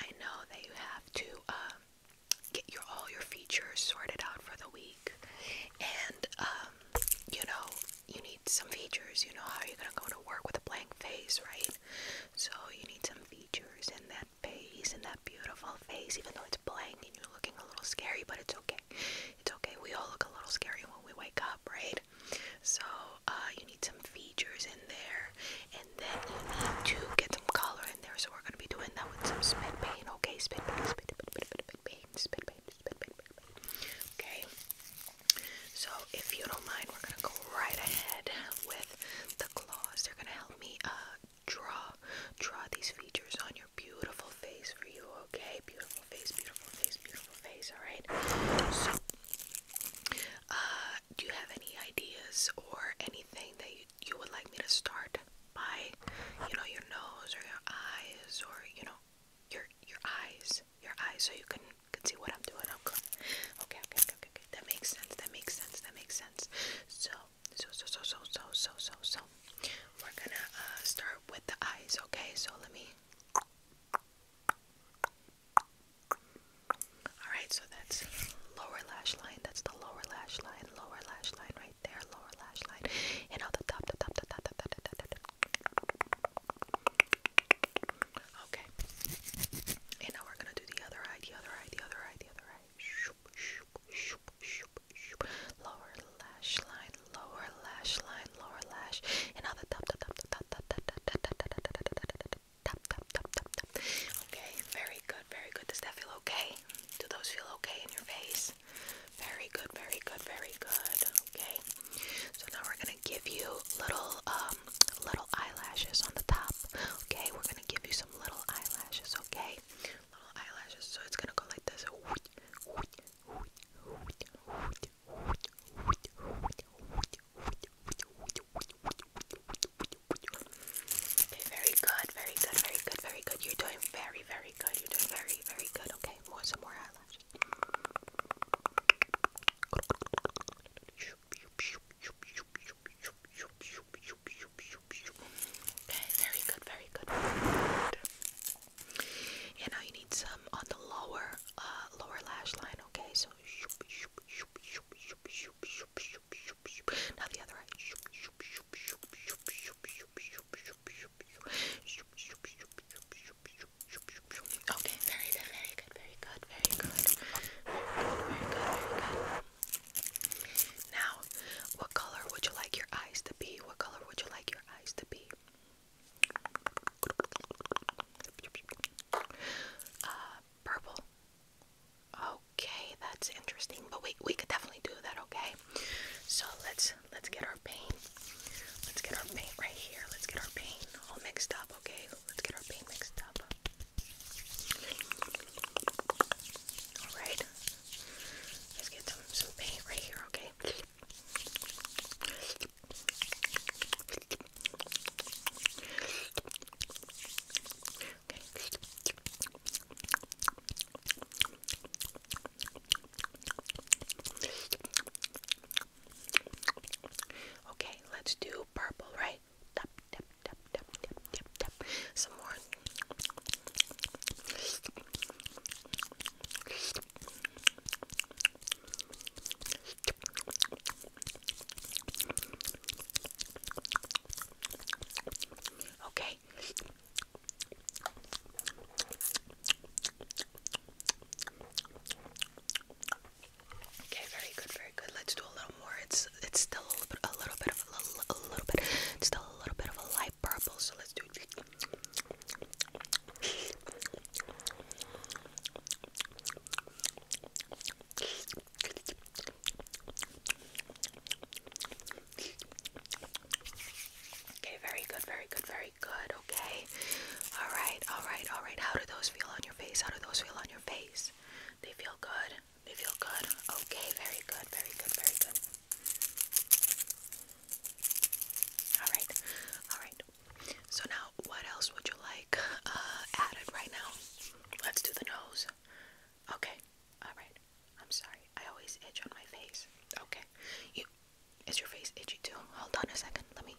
I know that you have to um, get your all your features sorted out for the week, and um, you know you need some features. You know how you're gonna go to work with a blank face, right? So you need some features in that face, in that beautiful face, even though it's blank and you're looking a little scary, but it's okay. It's okay. We all look a little scary when we wake up, right? So uh, you some features in there, and then you need to get some color in there. So we're gonna be doing that with some spit paint, okay? Spit paint, spit paint, spit paint, spit paint, spit paint, spit paint, Okay. So if you don't mind, we're gonna go right ahead with the claws. They're gonna help me uh, draw draw these features on your beautiful face for you, okay? Beautiful face, beautiful face, beautiful face, alright? So uh, do you have any ideas or anything that you, you would like me to start by? You know, your nose or your eyes or you know, your your eyes, your eyes, so you can can see what I'm doing. Okay, okay, okay, okay, okay. That makes sense. That makes sense. That makes sense. So, so, so, so, so, so, so, so, so. We're gonna uh, start with the eyes. Okay, so let me. Alright, so that's lower lash line. That's the lower lash line, lower lash line right there, lower lash line. And on the top, the top, the top, the top, the top, the top. Okay. And now we're gonna do the other eye, the other eye, the other eye, the other eye. Shoop, shoop, shoop, shoop, shoop. Lower lash line, lower lash line, lower lash. And on the top, the top, the top, the top, the top, the top, the top, the top, the top, the top tap, tap, tap, tap, tap. Okay, very good, very good. Does that feel okay? Do those feel okay in your face? Very good, very good, very good. Okay. So now we're gonna give you little um little eyelashes on the top. Okay, we're gonna give you some little eyelashes, okay? Little eyelashes. So it's gonna go like this very good, very good, very good, very good. You're doing very, very good. You're doing very, very good. Okay, more some more eyelashes. Okay, very good, very good. And now you need some on the lower, uh, lower lash line. Okay, so. Now the other eye. Okay, very good, very good, very good, very good. Very good, very good. Now, what color would you like your eyes to be? What color would you like your eyes to be? Uh, purple. Okay, that's interesting. But we we could definitely do that. Okay. So let's let's get our paint. Let's get our paint right here. Let's get our paint all mixed up. Okay. Let's get our paint mixed up. All right. Let's get some some paint right here. Okay. Okay, let's do purple, right? Tap, tap, tap, tap, tap, tap, tap. Some more. Okay. Okay, very good, very good. Let's do a little more. It's it's still a little bit, a little bit of a little, bit, it's still a little bit of a light purple. So let's do. Okay, very good, very good, very good. Okay. All right, all right, all right. How do those feel on your face? How do those feel on your face? They feel good. They feel good. Okay, very good, very good, very good. All right, all right. So now, what else would you like uh, added right now? Let's do the nose. Okay. All right. I'm sorry. I always itch on my face. Okay. You is your face itchy too? Hold on a second. Let me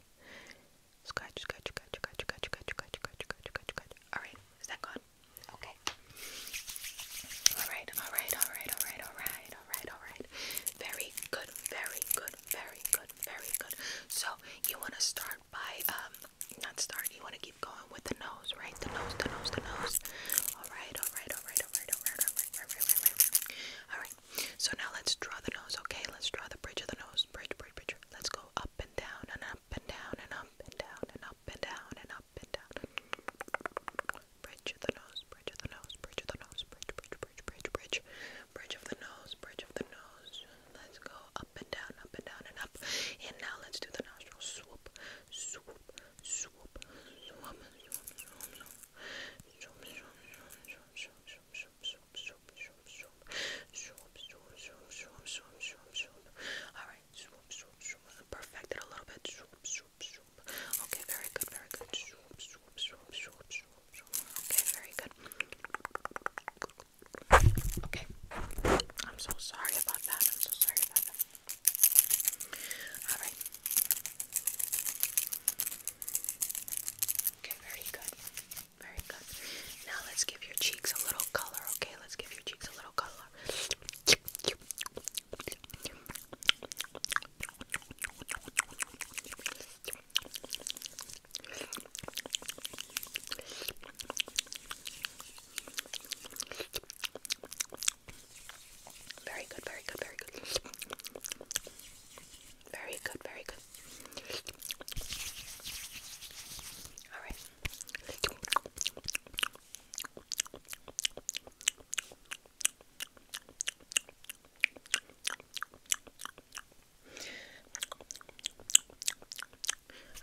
scratch, scratch, scratch, scratch, scratch, scratch, scratch, scratch, scratch, scratch. All right. Is that gone? Okay. All right. All right. All right. All right. All right. All right. All right. Very good. Very good good, very good, very good. So you want to start by um, not start. You want to keep going with the nose, right? The nose, the nose, the nose. All right, all right, all right, all right, all right, all right, all right, all right, all right. All right. So now let's draw the nose. Okay, let's draw the bridge of the nose. Bridge, bridge, bridge. Let's go up and down and up and down and up and down and up and down and up and down. Bridge of the nose, bridge of the nose, bridge of the nose, bridge, bridge, bridge, bridge, bridge. Bridge of the nose, bridge of the nose. Let's go up and down, up and down and up. And now let's do the nostril swoop, swoop, swoop, swoop, swoop, swoop, swoop. Swoop, swoop, swoop, swoop, swoop, swoop, swoop, swoop, swoop, swoop. Swoop, swoop, swoop, swoop, swoop, swoop, swoop. Alright, swoop, swoop, swoop. Perfect it a little bit. Swoop, swoop, swoop. Okay, very good, very good. Swoop, swoop, swoop, swoop, swoop. Okay, very good. Okay. I'm so sorry about that. I'm so sorry about that. Alright. Okay, very good. Very good. Now let's give your cheeks a little color, okay? Let's give your cheeks a little color. Very good, very good, very good. Very good, very good. All right.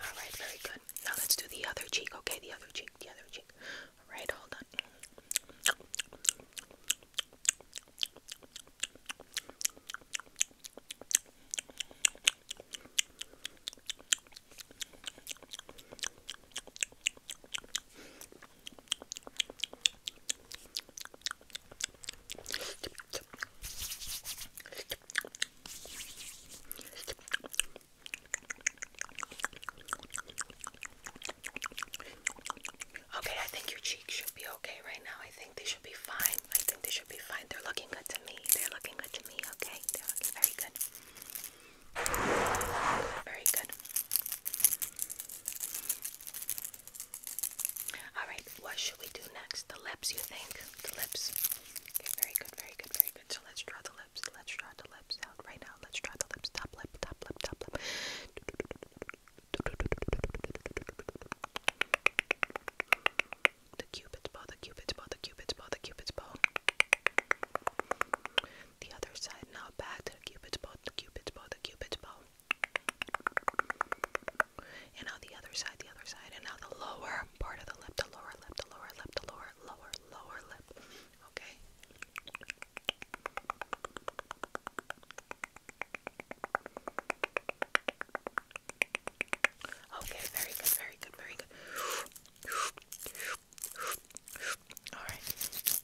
All right, very good. Now let's do the other cheek. Okay, the other cheek, the other cheek. All right, hold on. Okay, I think your cheeks should be okay right now. I think they should be fine. I think they should be fine. They're looking good to me. They're looking good to me. Okay, they're looking very good. Very good. All right, what should we do next? The lips, you think? The lips. Okay, very good, very good, very good. So let's draw the lips. Let's draw the lips out right now. Let's draw the lips. Top lip, top lip, top lip. The cupid's bow, the cupid's bow, the cupid's bow, the cupid's bow. The other side now back the cupid's bow, the cupid's bow, the cupid's bow. And now the other side, the other side, and now the lower part of the lip, the lower lip, the lower lip, the lower, lower, lower lip. Okay. Okay, very good, very good, very good. All right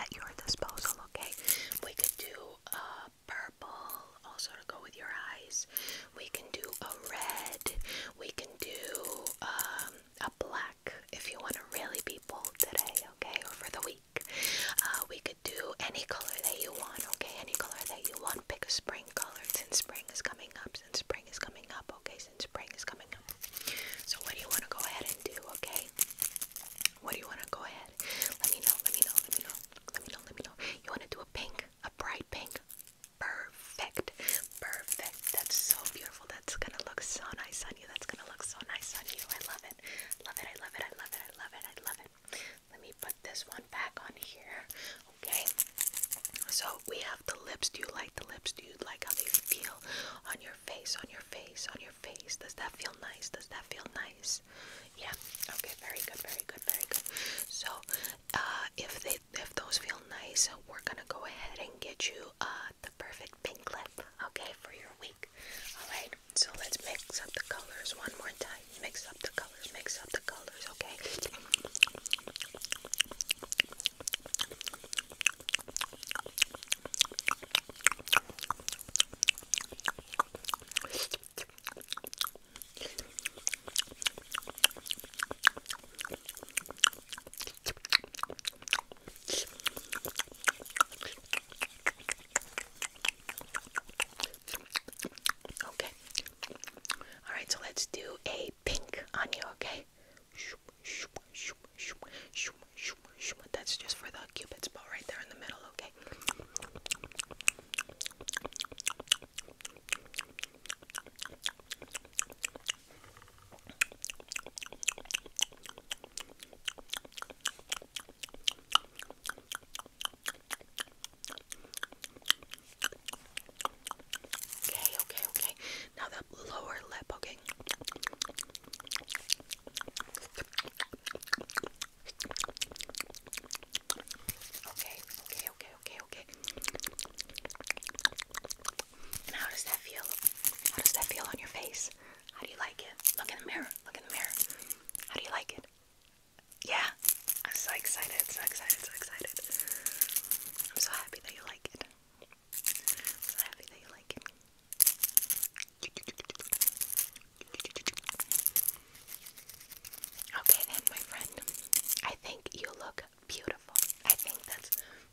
at your disposal, okay? We can do a uh, purple, also to go with your eyes. We can do a red. We can do um, a black if you want to really be bold today, okay? Or for the week. Uh, we could do any color that you want, okay? Any color that you want. Pick a spring color since spring is coming up, since spring is coming up, okay? days and spring is coming up. So what do you want to go ahead and do, okay? What do you want to go ahead? Let me know, let me know, let me know, let me know, let me know. You want to do a pink, a bright pink? Perfect, perfect. That's so beautiful. That's gonna look so nice on you. That's gonna look so nice on you. I love it. Love it, I love it, I love it, I love it, I love it. Let me put this one back on here, okay? So we have the lips. Do you like the lips? Do you like how they feel on your face, on your face, on your face. Does that feel nice? Does that feel nice? Yeah. Okay. Very good. Very good. Very good. So, uh, if they if those feel nice, we're gonna go ahead and get you uh the perfect pink lip. Okay, for your week. All right. So let's mix up the colors one more time. Mix up the colors. Mix up the colors. Okay. Okay. All right, so let's do a pink on you, okay? That's just for the cupid's bow right there in the middle, okay? Okay, okay, okay, now the lower lip, okay. Okay, okay, okay, okay, how does that feel? How does that feel on your face? How do you like it? Look in the mirror, look in the mirror. How do you like it? Yeah, I'm so excited, so excited, so excited. I'm so happy that you like it. So happy that you like it. Okay then, my friend. I think you look beautiful. I think that's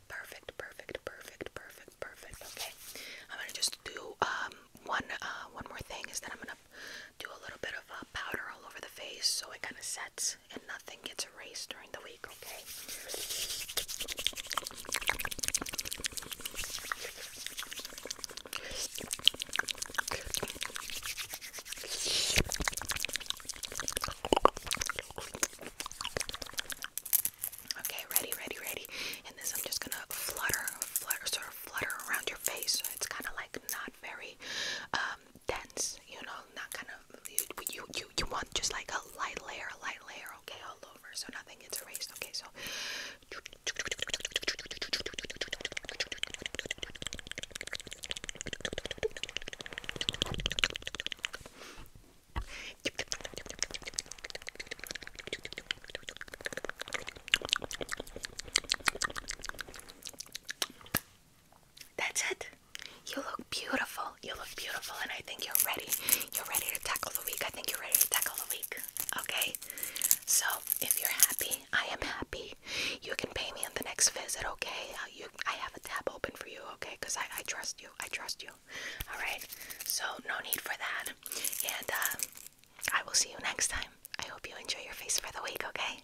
perfect, perfect, perfect, perfect, perfect. Okay, I'm gonna just do um one uh one more thing is that I'm gonna do a little bit of uh, powder all over the face so it kind of sets and nothing gets erased during the week, okay? Okay, ready, ready, ready. And this I'm just gonna flutter, flutter, sort of flutter around your face. So it's kind of like not very um, dense, you know, not kind of you, you, you want just like a light layer, a light layer, okay, all over, so nothing gets erased, okay, so. That's it. You look beautiful. You look beautiful, and I think you're ready. You're ready to tackle the week. I think you're ready to tackle the week. Okay? So, if you're happy, I am happy. You can pay me on the next visit, okay? Uh, you, I have a tab open for you, okay? Because I, I trust you. I trust you. All right? So, no need for that. And uh, I will see you next time. I hope you enjoy your face for the week, okay?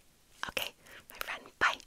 Okay, my friend. Bye.